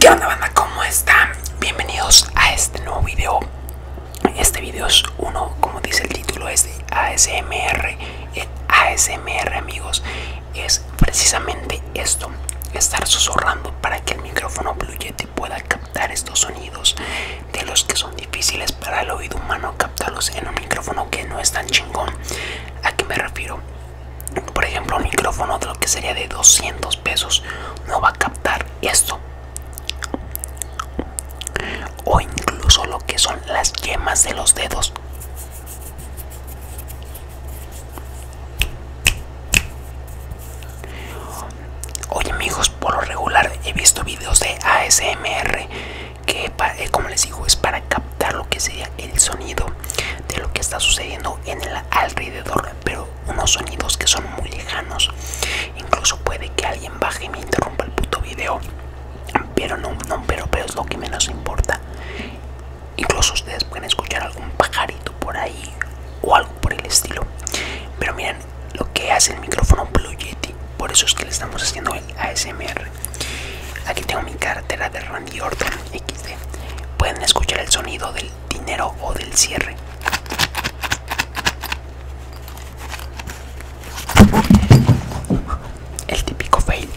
¿Qué onda banda? ¿Cómo están? Bienvenidos a este nuevo video. Este video es uno, como dice el título, es de ASMR. ASMR amigos es precisamente esto estar susurrando para que el micrófono Blue Yeti pueda captar estos sonidos de los que son difíciles para el oído humano captarlos en un micrófono que no es tan chingón a qué me refiero por ejemplo un micrófono de lo que sería de 200 pesos no va a captar esto o incluso lo que son las yemas de los dedos Oye amigos, por lo regular he visto videos de ASMR que eh, como les digo es para captar lo que sería el sonido de lo que está sucediendo en el alrededor, pero unos sonidos que son muy lejanos. Incluso puede que alguien baje y me interrumpa el puto video. Pero no, no, pero, pero es lo que menos importa. Incluso ustedes pueden escuchar algún pajarito por ahí o algo por el estilo. Pero miren lo que hace el micrófono Blue Yeti. Por eso es que le estamos haciendo el ASMR. Aquí tengo mi cartera de Randy Orton XD. Pueden escuchar el sonido del dinero o del cierre el típico fail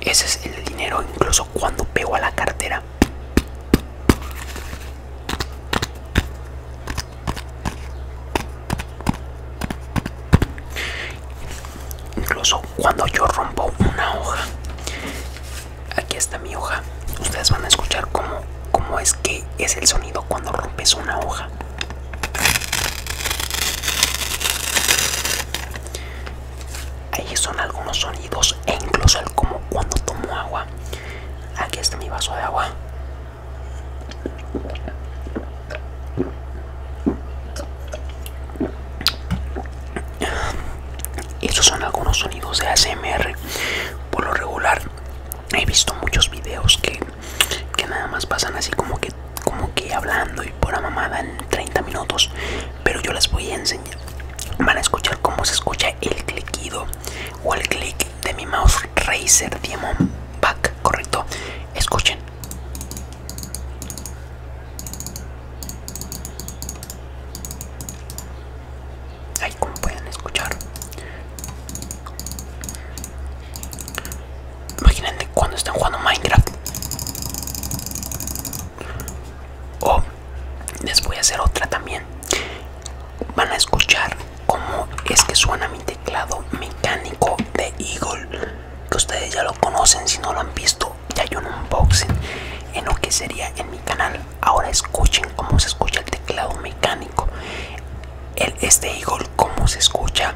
ese es el dinero incluso cuando pego a la cartera incluso cuando yo rompo una hoja aquí está mi hoja ustedes van a escuchar cómo, cómo es que es el sonido cuando rompes una hoja Ahí son algunos sonidos e incluso el como cuando tomo agua. Aquí está mi vaso de agua. Estos son algunos sonidos de ASMR. Por lo regular he visto muchos videos que, nada más pasan así como que como que hablando y por la mamada en 30 minutos pero yo les voy a enseñar van a escuchar cómo se escucha el cliquido o el click de mi mouse razer diamond back correcto escuchen ahí como pueden escuchar Imagínate cuando están jugando Minecraft. O les voy a hacer otra también. Van a escuchar cómo es que suena mi teclado mecánico de Eagle. Que ustedes ya lo conocen si no lo han visto. Ya hay un unboxing en lo que sería en mi canal. Ahora escuchen cómo se escucha el teclado mecánico el, este eagle como se escucha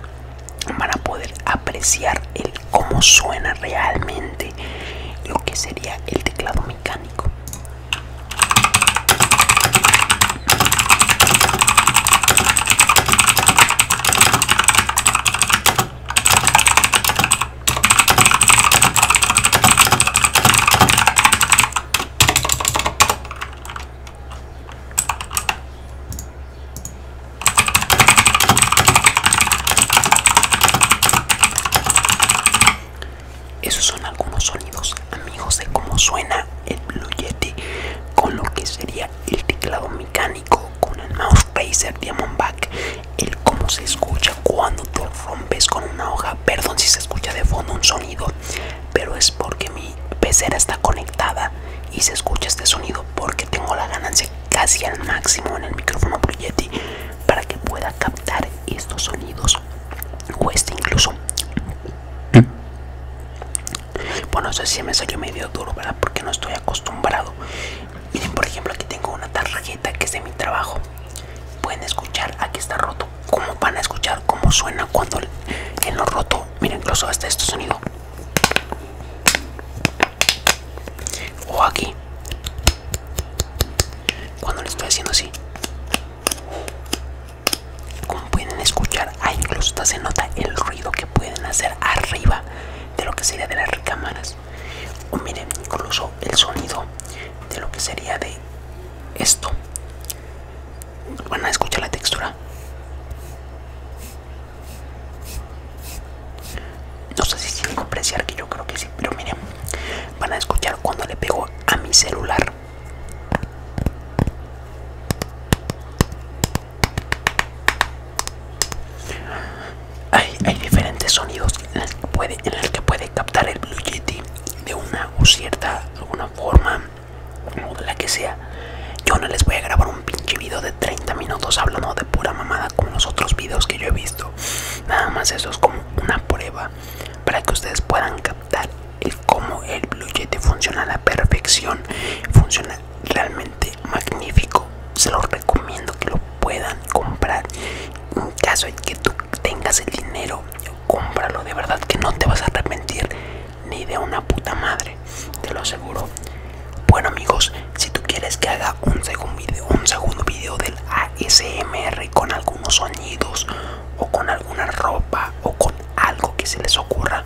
para poder apreciar el cómo suena realmente lo que sería el teclado mecánico esos son algunos sonidos, amigos, de cómo suena el Blue Yeti con lo que sería el teclado mecánico, con el mouse Razer Diamondback, el cómo se escucha cuando te rompes con una hoja. Perdón si se escucha de fondo un sonido pero es porque mi pecera está conectada y se escucha este sonido porque tengo la ganancia casi al máximo en el micrófono Pro para que pueda captar estos sonidos o este incluso bueno eso sí me salió medio duro verdad porque no estoy acostumbrado miren por ejemplo aquí tengo una tarjeta que es de mi trabajo pueden escuchar aquí está roto como van a escuchar cómo suena cuando en lo roto mira incluso hasta este sonido o aquí cuando le estoy haciendo así como pueden escuchar ahí incluso se nota el ruido que pueden hacer arriba de lo que sería de las recámaras o miren incluso el sonido de lo que sería de esto Van a escuchar la textura. No sé si tienen apreciar que yo creo que sí, pero miren, van a escuchar cuando le pego a mi celular. Hay, diferentes sonidos en los que puede, captar el Blue de una o cierta alguna forma o la que sea. Yo no les voy a grabar un pinche video de 30 minutos hablando de pura mamada como los otros videos que yo he visto. Nada más eso es como una prueba para que ustedes puedan captar el cómo el Blue Yeti funciona a la perfección. Funciona realmente magnífico. Se los recomiendo que lo puedan comprar en caso de que tú tengas el dinero, cómpralo, de verdad que no te vas a arrepentir ni de una puta madre, te lo aseguro. Bueno amigos, si tú quieres que haga un segundo video, un segundo video del ASMR con algunos sonidos o con alguna ropa o con algo que se les ocurra,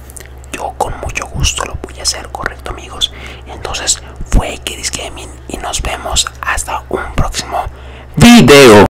yo con mucho gusto lo voy a hacer, correcto amigos. Entonces fue que Gaming y nos vemos hasta un próximo video.